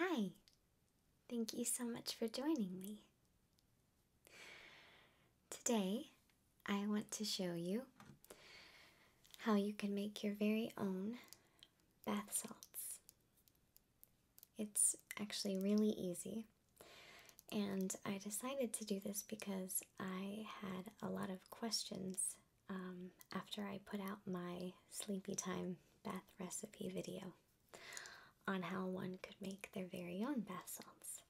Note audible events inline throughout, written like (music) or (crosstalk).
Hi, thank you so much for joining me. Today, I want to show you how you can make your very own bath salts. It's actually really easy. And I decided to do this because I had a lot of questions um, after I put out my sleepy time bath recipe video on how one could make their very own bath salts.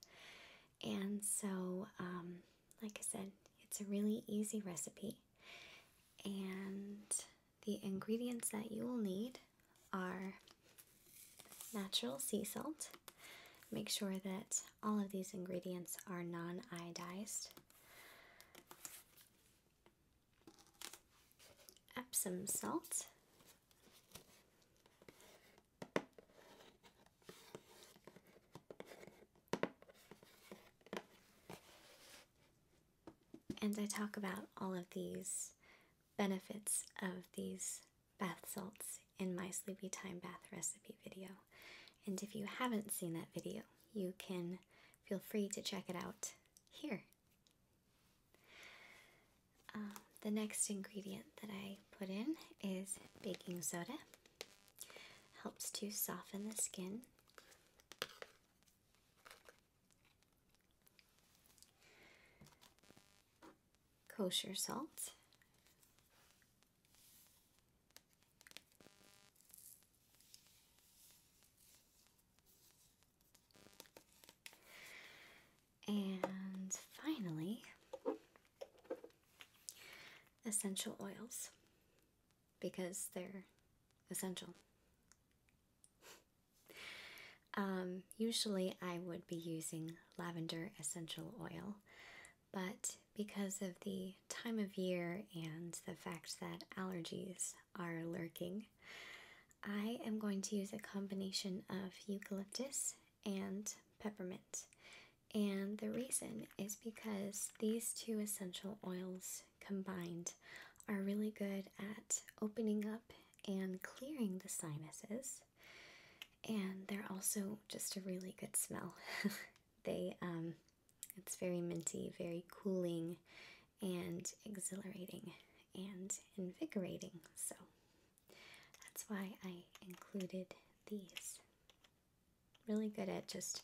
And so, um, like I said, it's a really easy recipe. And the ingredients that you will need are natural sea salt. Make sure that all of these ingredients are non iodized. Epsom salt. And I talk about all of these benefits of these bath salts in my sleepy time bath recipe video. And if you haven't seen that video, you can feel free to check it out here. Um, the next ingredient that I put in is baking soda. Helps to soften the skin kosher salt, and finally, essential oils because they're essential. Um, usually, I would be using lavender essential oil, but because of the time of year and the fact that allergies are lurking, I am going to use a combination of eucalyptus and peppermint. And the reason is because these two essential oils combined are really good at opening up and clearing the sinuses. And they're also just a really good smell. (laughs) they, um, it's very minty, very cooling, and exhilarating, and invigorating. So that's why I included these. Really good at just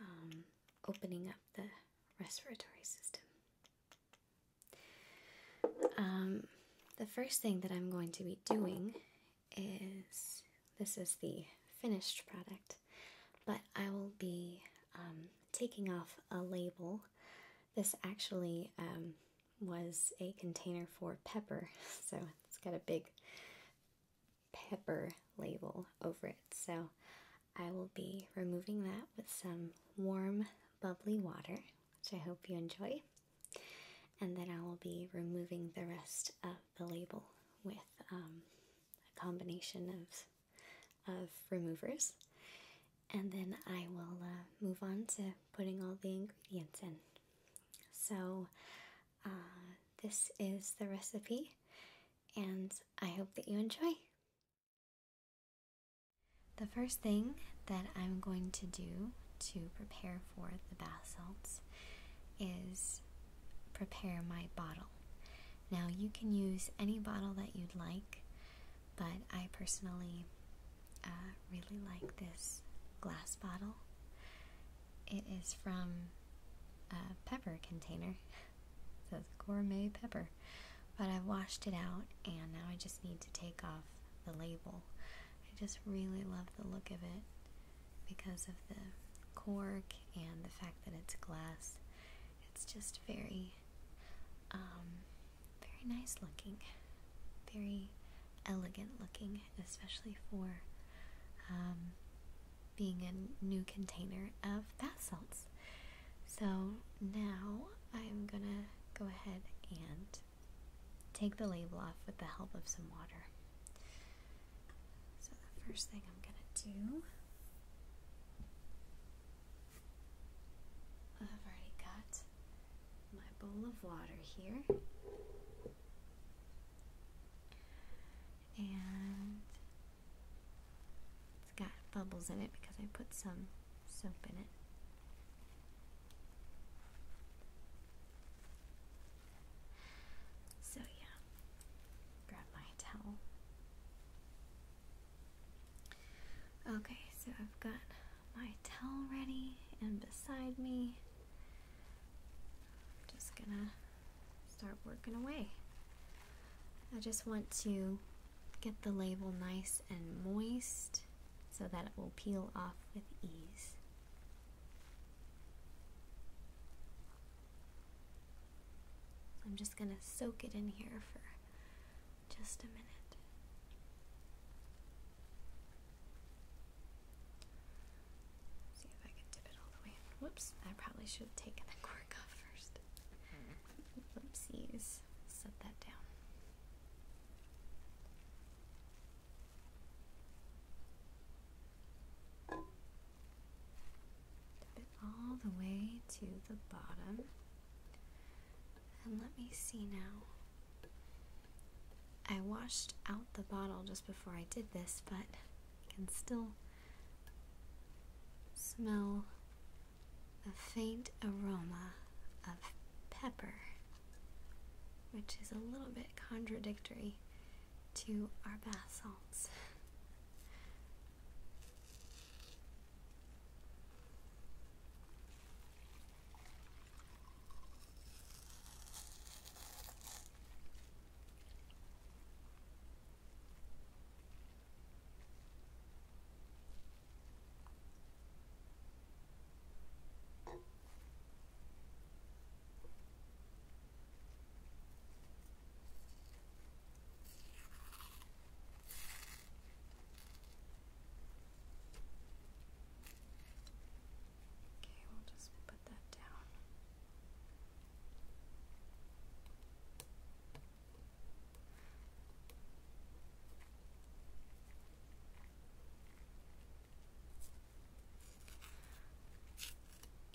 um, opening up the respiratory system. Um, the first thing that I'm going to be doing is this is the finished product, but I will be um, taking off a label. This actually um, was a container for pepper, (laughs) so it's got a big pepper label over it. So I will be removing that with some warm, bubbly water which I hope you enjoy. And then I will be removing the rest of the label with um, a combination of, of removers. And then I will uh, move on to putting all the ingredients in. So uh, this is the recipe and I hope that you enjoy. The first thing that I'm going to do to prepare for the bath salts is prepare my bottle. Now, you can use any bottle that you'd like, but I personally uh, really like this glass bottle. It is from a pepper container, (laughs) it says gourmet pepper, but I've washed it out and now I just need to take off the label. I just really love the look of it because of the cork and the fact that it's glass. It's just very, um, very nice looking, very elegant looking, especially for um, being a new container of bath salts. So now I'm gonna go ahead and take the label off with the help of some water. So, the first thing I'm going to do. I've already got my bowl of water here. And it's got bubbles in it because I put some soap in it. So, yeah, grab my towel. Okay, so I've got my towel ready and beside me. I'm just gonna start working away. I just want to get the label nice and moist so that it will peel off with ease. I'm just going to soak it in here for just a minute. see if I can dip it all the way Whoops, I probably should have taken the cork off first. Hmm. Whoopsies set that down. Tap it all the way to the bottom. And let me see now. I washed out the bottle just before I did this, but I can still smell a faint aroma of pepper, which is a little bit contradictory to our bath salts. Okay, we'll just put that down.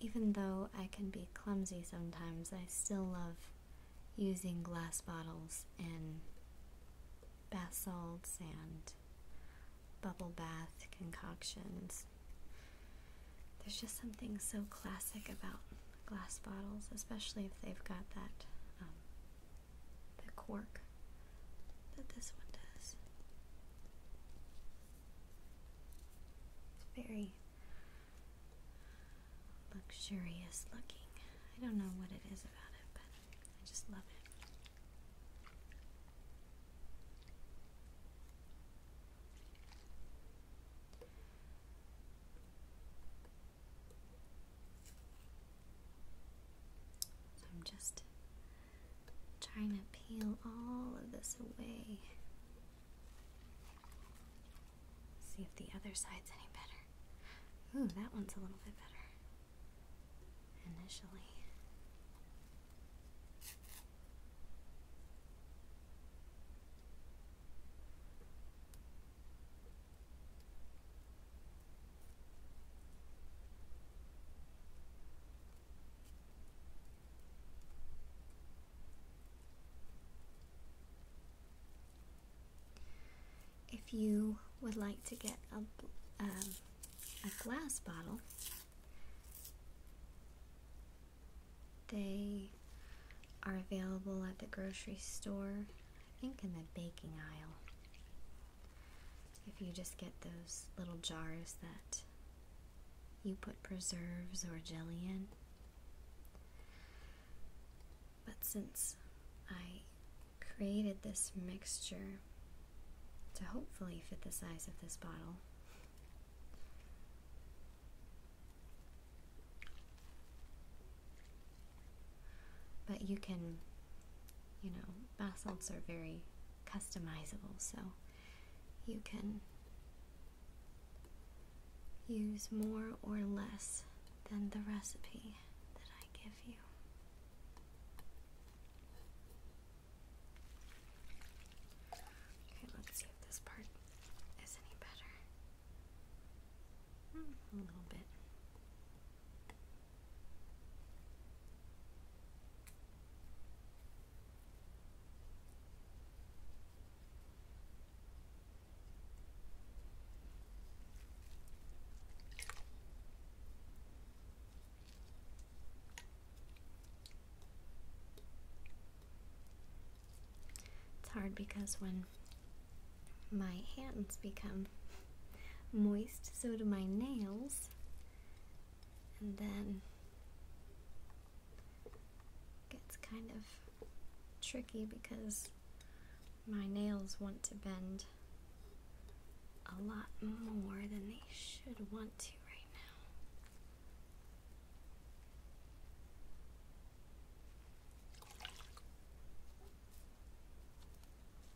Even though I can be clumsy sometimes, I still love using glass bottles and bath salts and bubble bath concoctions. There's just something so classic about glass bottles, especially if they've got that um, the cork that this one does. It's very luxurious looking. I don't know what it is about it, but I just love it. I'm just trying to peel all of this away. See if the other side's any better. Ooh, that one's a little bit better. Initially. If you would like to get a, um, a glass bottle, they are available at the grocery store, I think in the baking aisle. If you just get those little jars that you put preserves or jelly in. But since I created this mixture to hopefully fit the size of this bottle, but you can, you know, basalts are very customizable, so you can use more or less than the recipe that I give you. Okay, let's see if this part is any better a little bit. It's hard because when my hands become moist, so do my nails, and then it gets kind of tricky because my nails want to bend a lot more than they should want to right now.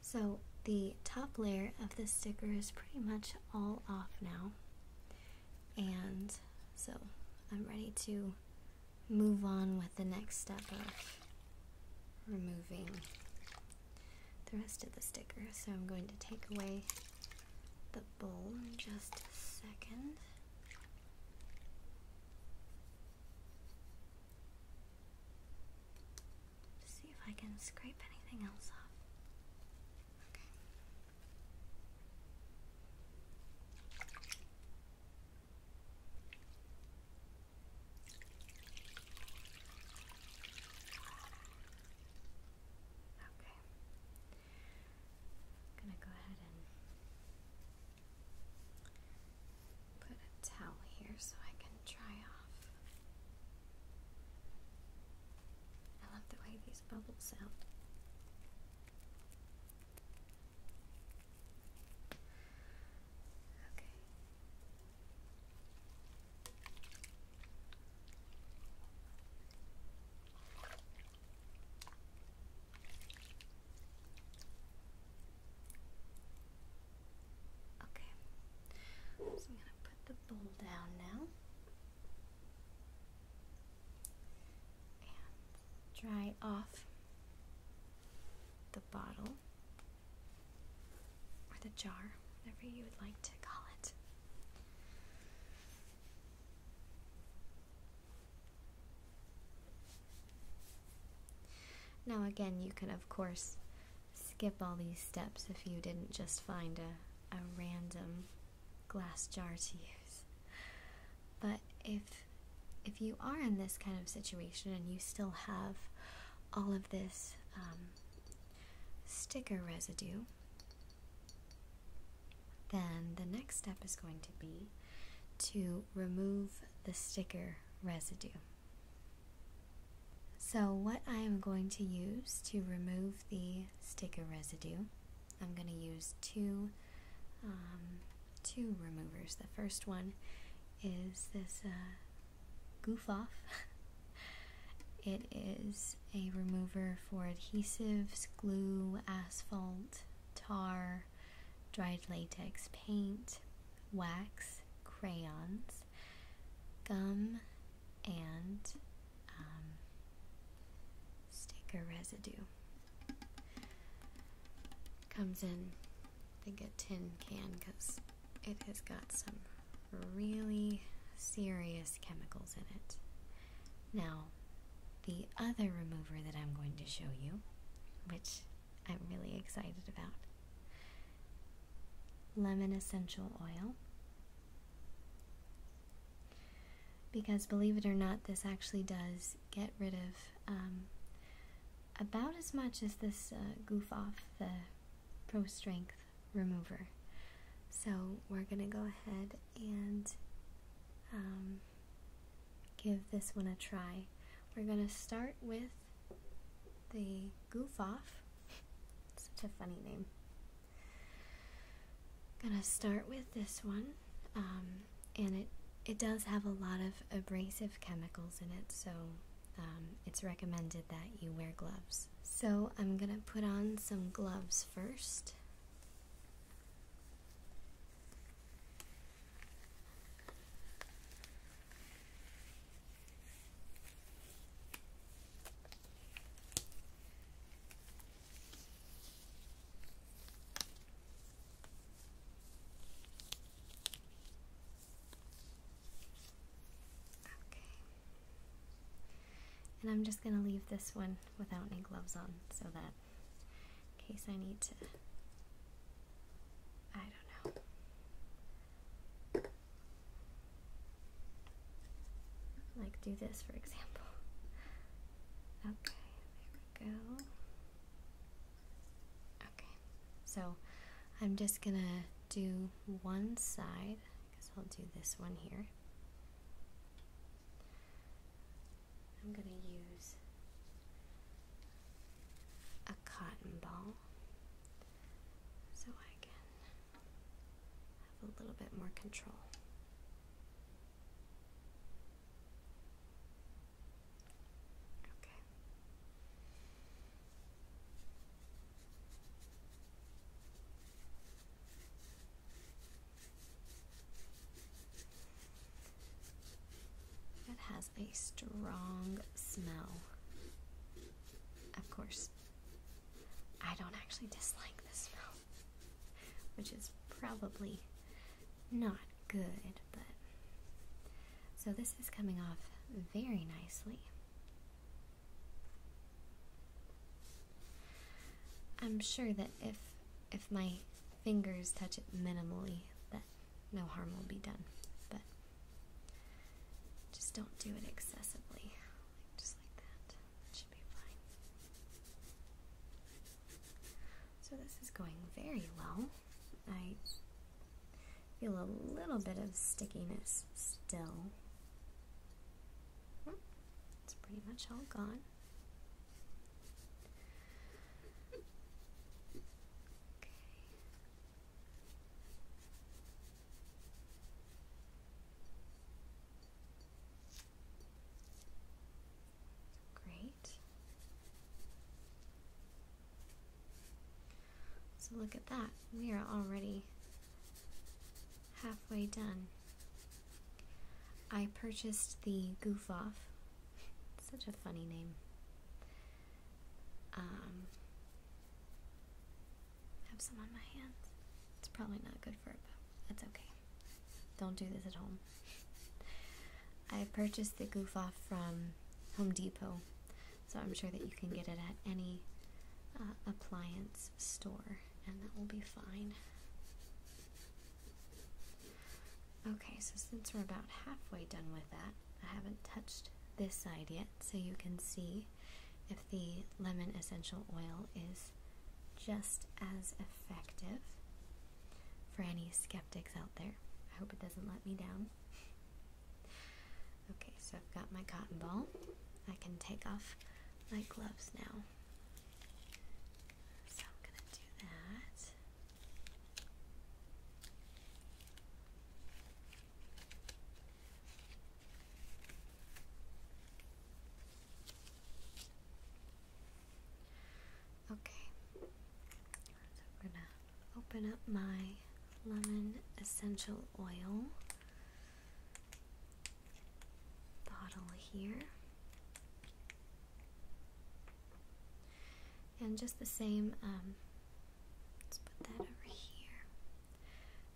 So the top layer of the sticker is pretty much all off now. And so I'm ready to move on with the next step of removing the rest of the sticker. So I'm going to take away the bowl in just a second see if I can scrape anything else off. Okay. I'm gonna go ahead and put a towel here so I can dry off. I love the way these bubbles sound. Okay. Okay, so I'm going to put the bowl down now and dry off the bottle or the jar, whatever you would like to call it. Now, again, you can, of course, skip all these steps if you didn't just find a, a random glass jar to use. But if if you are in this kind of situation and you still have all of this um, sticker residue, then the next step is going to be to remove the sticker residue. So what I am going to use to remove the sticker residue, I'm going to use two, um, two removers. The first one is this uh, Goof Off. (laughs) it is a remover for adhesives, glue, asphalt, tar, dried latex paint, wax, crayons, gum, and um, sticker residue. Comes in, I think, a tin can because it has got some really serious chemicals in it. Now, the other remover that I'm going to show you, which I'm really excited about, lemon essential oil. Because believe it or not, this actually does get rid of um, about as much as this uh, goof off the Pro Strength remover. So we're going to go ahead and um, give this one a try. We're going to start with the Goof Off. Such a funny name. Gonna start with this one, um, and it it does have a lot of abrasive chemicals in it, so um, it's recommended that you wear gloves. So I'm gonna put on some gloves first. Okay. And I'm just going to leave this one without any gloves on so that in case I need to. I don't know. Like, do this for example. Okay, there we go. Okay, so I'm just gonna do one side. I guess I'll do this one here. I'm going to use a cotton ball so I can have a little bit more control. Okay. That has a strong smell. Of course, I don't actually dislike the smell, which is probably not good, but. So this is coming off very nicely. I'm sure that if if my fingers touch it minimally, that no harm will be done. But just don't do it excessively. just like that. should be fine. So this is going very well. I feel a little bit of stickiness still. Hmm. It's pretty much all gone. Great. So look at that. We are already halfway done. I purchased the Goof Off such a funny name. Um, have some on my hands. It's probably not good for it, but it's okay. Don't do this at home. (laughs) I purchased the goof off from Home Depot, so I'm sure that you can get it at any uh, appliance store, and that will be fine. Okay, so since we're about halfway done with that, I haven't touched this side yet, so you can see if the lemon essential oil is just as effective. For any skeptics out there, I hope it doesn't let me down. (laughs) Okay, so I've got my cotton ball. I can take off my gloves now. So I'm gonna do that. Okay, so we're gonna open up my lemon essential oil bottle here. And just the same, um, let's put that over here.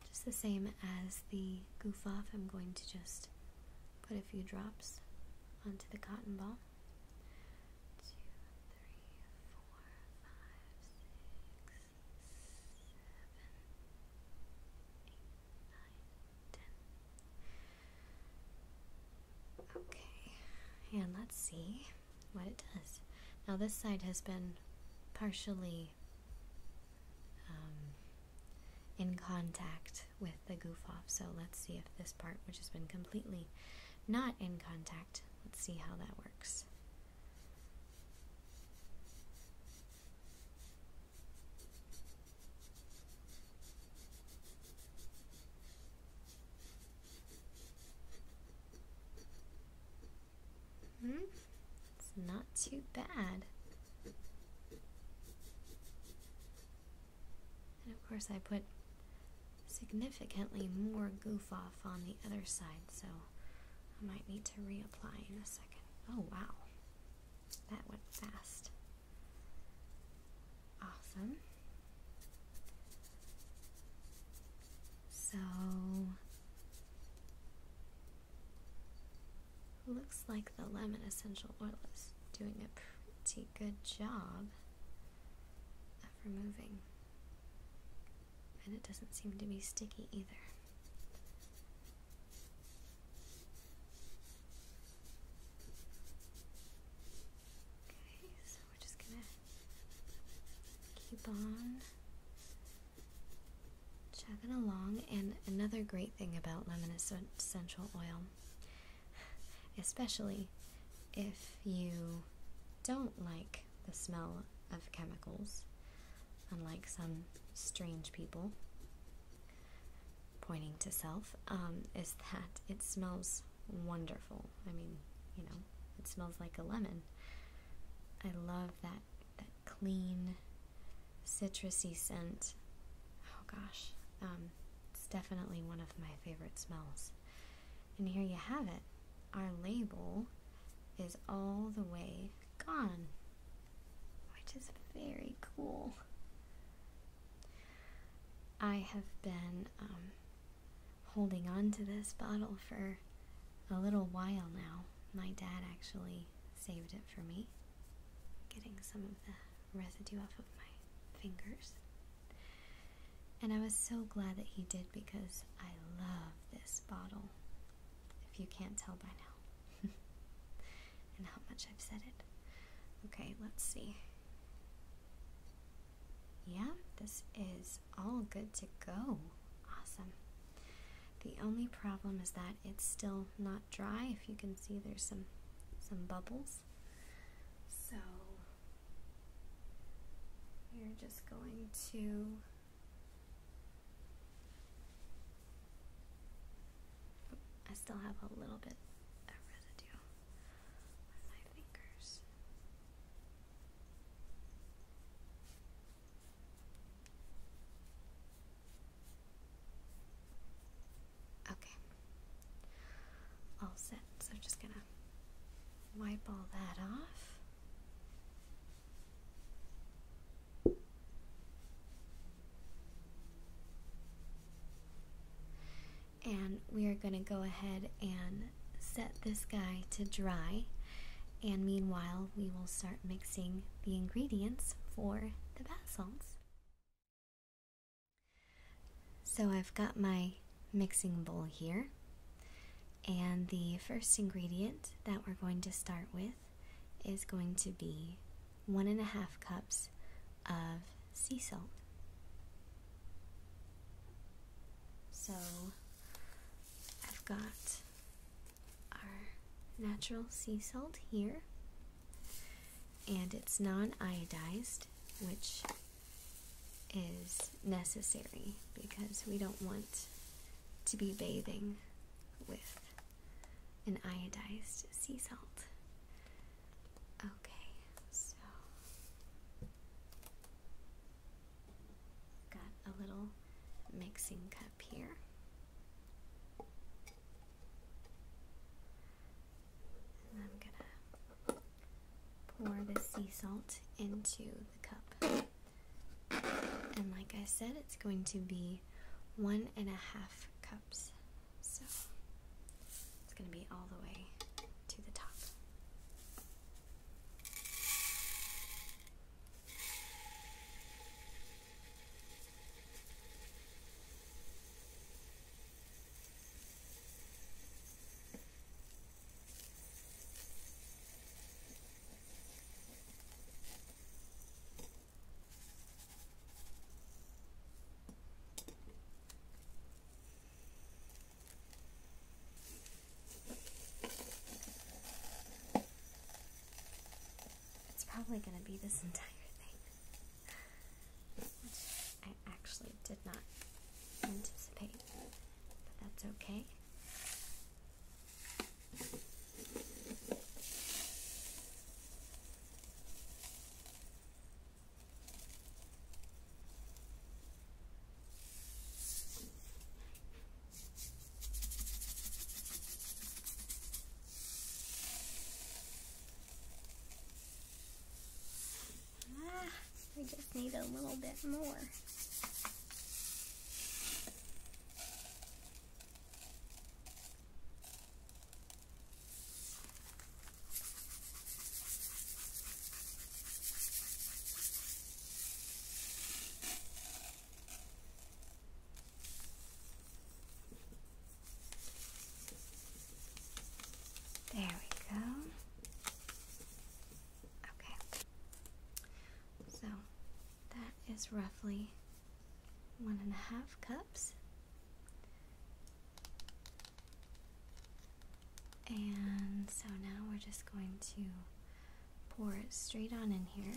Just the same as the goof off, I'm going to just put a few drops onto the cotton ball. Okay, and let's see what it does. Now, this side has been partially um, in contact with the goof off, so let's see if this part, which has been completely not in contact, let's see how that works. Hmm? It's not too bad. And of course I put significantly more goof off on the other side, so I might need to reapply in a second. Oh wow, that went fast. Awesome. So looks like the lemon essential oil is doing a pretty good job of removing. And it doesn't seem to be sticky either. Okay, so we're just gonna keep on chugging along. And another great thing about lemon essential oil, especially if you don't like the smell of chemicals, unlike some strange people, pointing to self, um, is that it smells wonderful. I mean, you know, it smells like a lemon. I love that that clean, citrusy scent. Oh gosh, um, it's definitely one of my favorite smells. And here you have it. Our label is all the way gone, which is very cool. I have been um, holding on to this bottle for a little while now. My dad actually saved it for me. Getting some of the residue off of my fingers. And I was so glad that he did because I love this bottle. If you can't tell by now, (laughs) and how much I've said it. Okay, let's see. Yeah, this is all good to go. Awesome. The only problem is that it's still not dry. If you can see there's some some bubbles. So you're just going to I still have a little bit of residue my fingers. Okay. All set. So I'm just gonna wipe all that off and we are going to go ahead and set this guy to dry and meanwhile we will start mixing the ingredients for the bath salts so i've got my mixing bowl here and the first ingredient that we're going to start with is going to be one and a half cups of sea salt. So I've got our natural sea salt here, and it's non iodized, which is necessary because we don't want to be bathing with an iodized sea salt. Okay, so got a little mixing cup here. I'm gonna pour the sea salt into the cup. And like I said, it's going to be one and a half cups so it's going to be all the way to the top. It's probably going to be this entire thing, I actually did not anticipate, but that's okay. Ah, we just need a little bit more. There we go. Okay. So that is roughly one and a half cups. And so now we're just going to pour it straight on in here.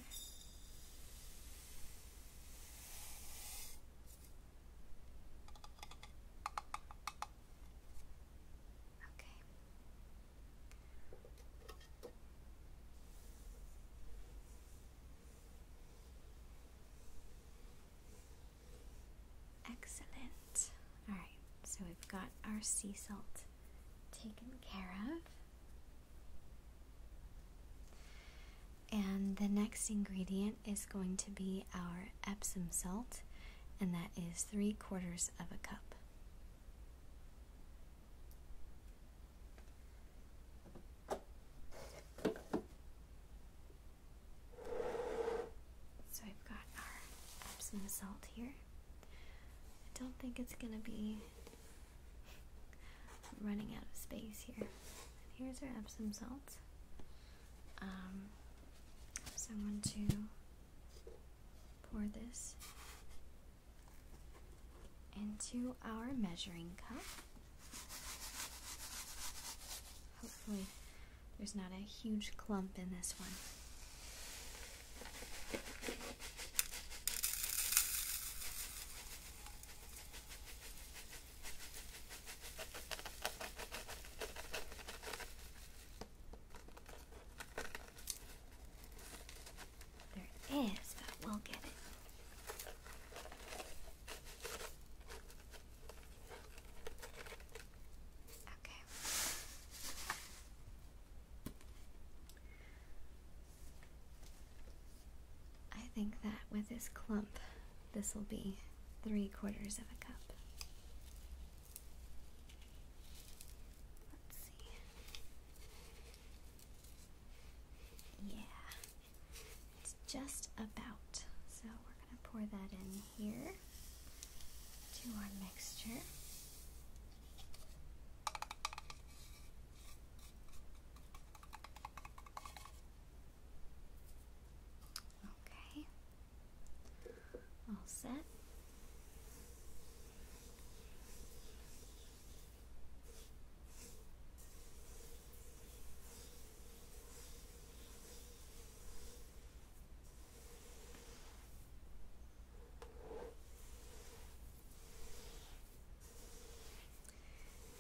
Okay. Excellent. All right, so we've got our sea salt taken care of. And the next ingredient is going to be our Epsom salt, and that is three quarters of a cup. So I've got our Epsom salt here. I don't think it's gonna be running out of space here. here's our Epsom salt. Um, so I'm going to pour this into our measuring cup. Hopefully, there's not a huge clump in this one. There is, but we'll get it. Okay. I think that with this clump, this will be three quarters of a cup. Let's see. Yeah, it's just about. So we're going to pour that in here to our mixture. Okay, all set.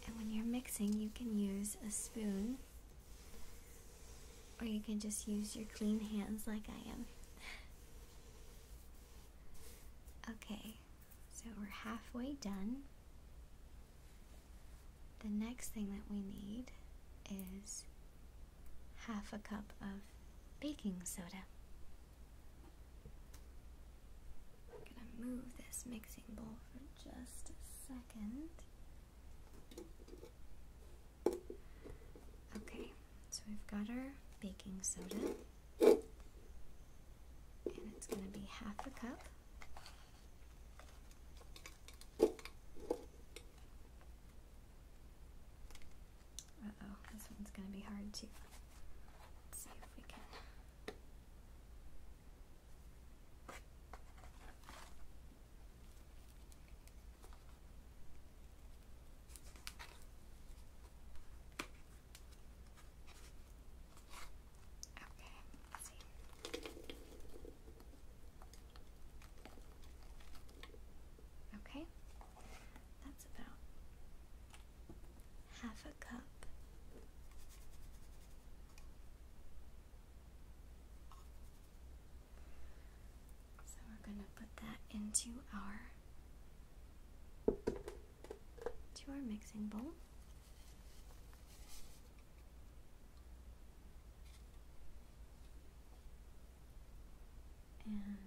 And when you're mixing, you can use a spoon or you can just use your clean hands like I am. (laughs) okay, so we're halfway done. The next thing that we need is half a cup of baking soda. gonna move this mixing bowl for just a second. Okay, so we've got our baking soda, and it's gonna be half a cup. Uh-oh, this one's gonna be hard too. Let's see if we can... Okay, Okay, that's about half a cup. So we're going to put that into our to our mixing bowl. And I'm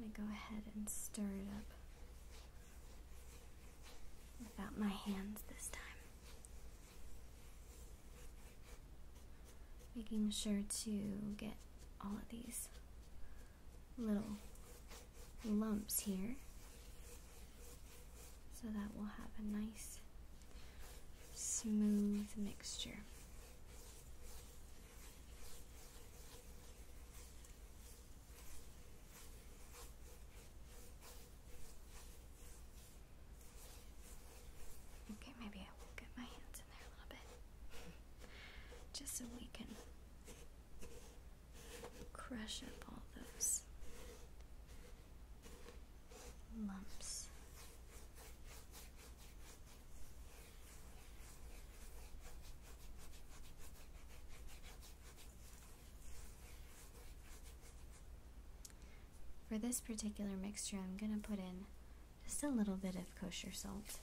going to go ahead and stir it up without my hands this time. Making sure to get all of these little lumps here so that we'll have a nice smooth mixture. Okay, maybe I will get my hands in there a little bit just so we can crush up all those lumps. For this particular mixture, I'm going to put in just a little bit of kosher salt.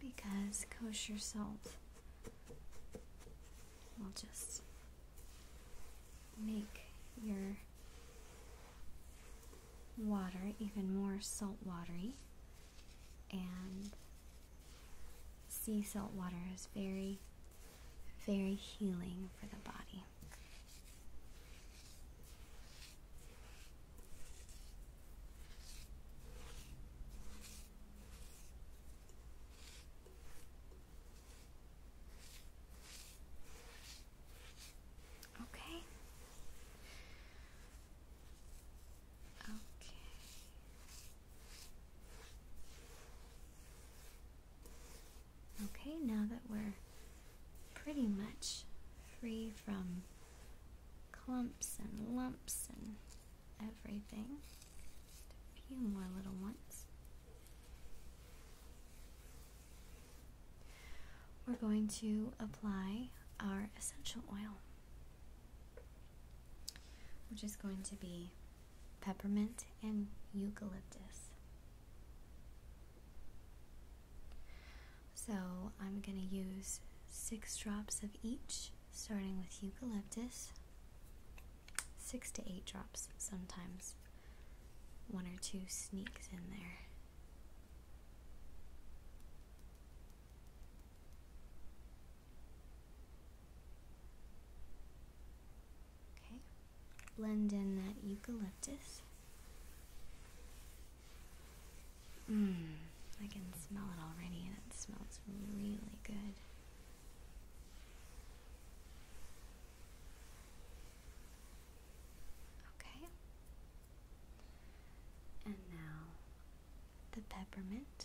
Because kosher salt will just make your water, even more salt watery, and sea salt water is very, very healing for the body. Okay. Okay. Okay, now that we're pretty much free from clumps and lumps and everything, a few more little ones. We're going to apply our essential oil, which is going to be peppermint and eucalyptus. So I'm going to use six drops of each, starting with eucalyptus, six to eight drops sometimes. One or two sneaks in there blend in that eucalyptus. Mmm, I can smell it already, and it smells really good. Okay, and now the peppermint. Two,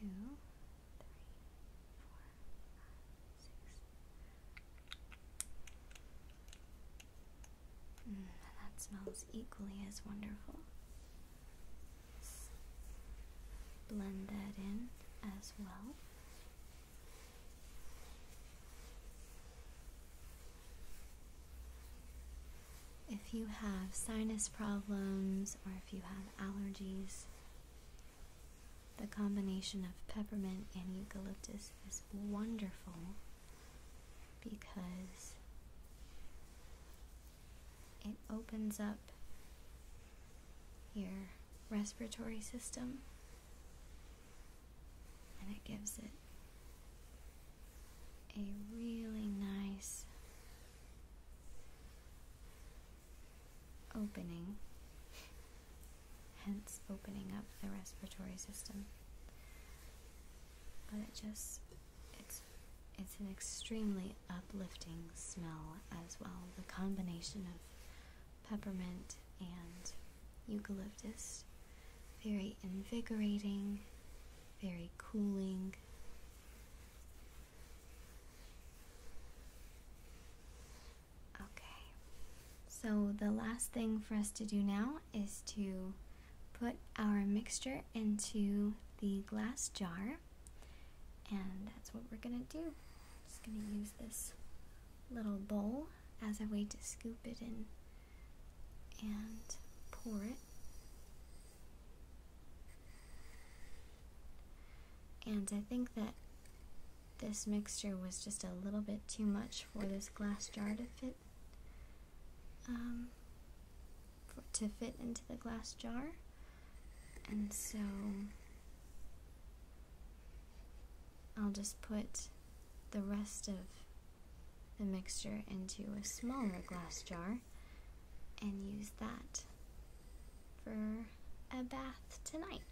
three, four, five, six. Mm, that smells equally as wonderful blend that in as well. If you have sinus problems or if you have allergies, the combination of peppermint and eucalyptus is wonderful because it opens up your respiratory system and it gives it a really nice opening, hence opening up the respiratory system. But it just, it's it's an extremely uplifting smell as well. The combination of peppermint and eucalyptus. Very invigorating, very cooling. Okay, so the last thing for us to do now is to put our mixture into the glass jar. And that's what we're gonna do. I'm just gonna use this little bowl as a way to scoop it in and pour it. And I think that this mixture was just a little bit too much for this glass jar to fit. Um, for, to fit into the glass jar. And so I'll just put the rest of the mixture into a smaller glass jar and use that for a bath tonight.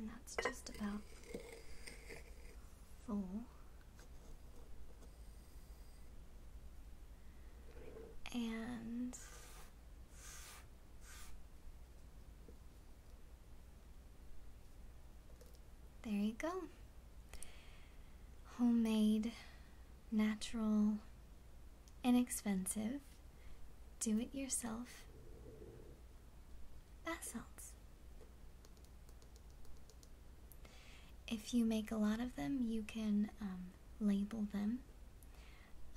And that's just about full and there you go. Homemade, natural, inexpensive, do it yourself bath salts. If you make a lot of them, you can um, label them.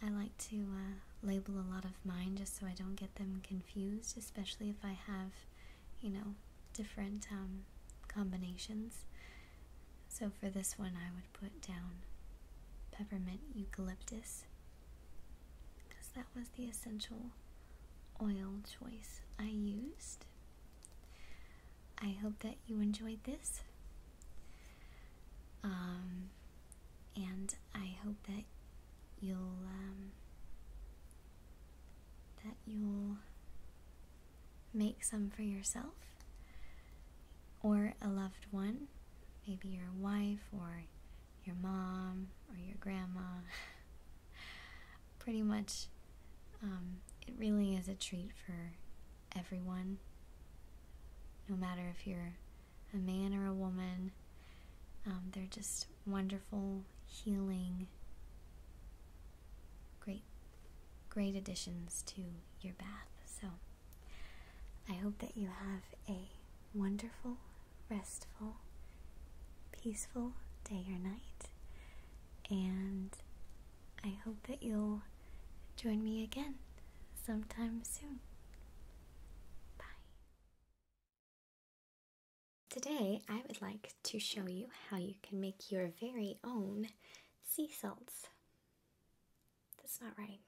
I like to uh, label a lot of mine just so I don't get them confused, especially if I have, you know, different um, combinations. So for this one, I would put down peppermint eucalyptus because that was the essential oil choice I used. I hope that you enjoyed this. Um, and I hope that you'll um, that you'll make some for yourself or a loved one, maybe your wife or your mom or your grandma (laughs) pretty much um, it really is a treat for everyone, no matter if you're a man or a woman. Um, they're just wonderful, healing, great, great additions to your bath. So I hope that you have a wonderful, restful, peaceful day or night and I hope that you'll join me again sometime soon. Bye. Today, I would like to show you how you can make your very own sea salts. That's not right.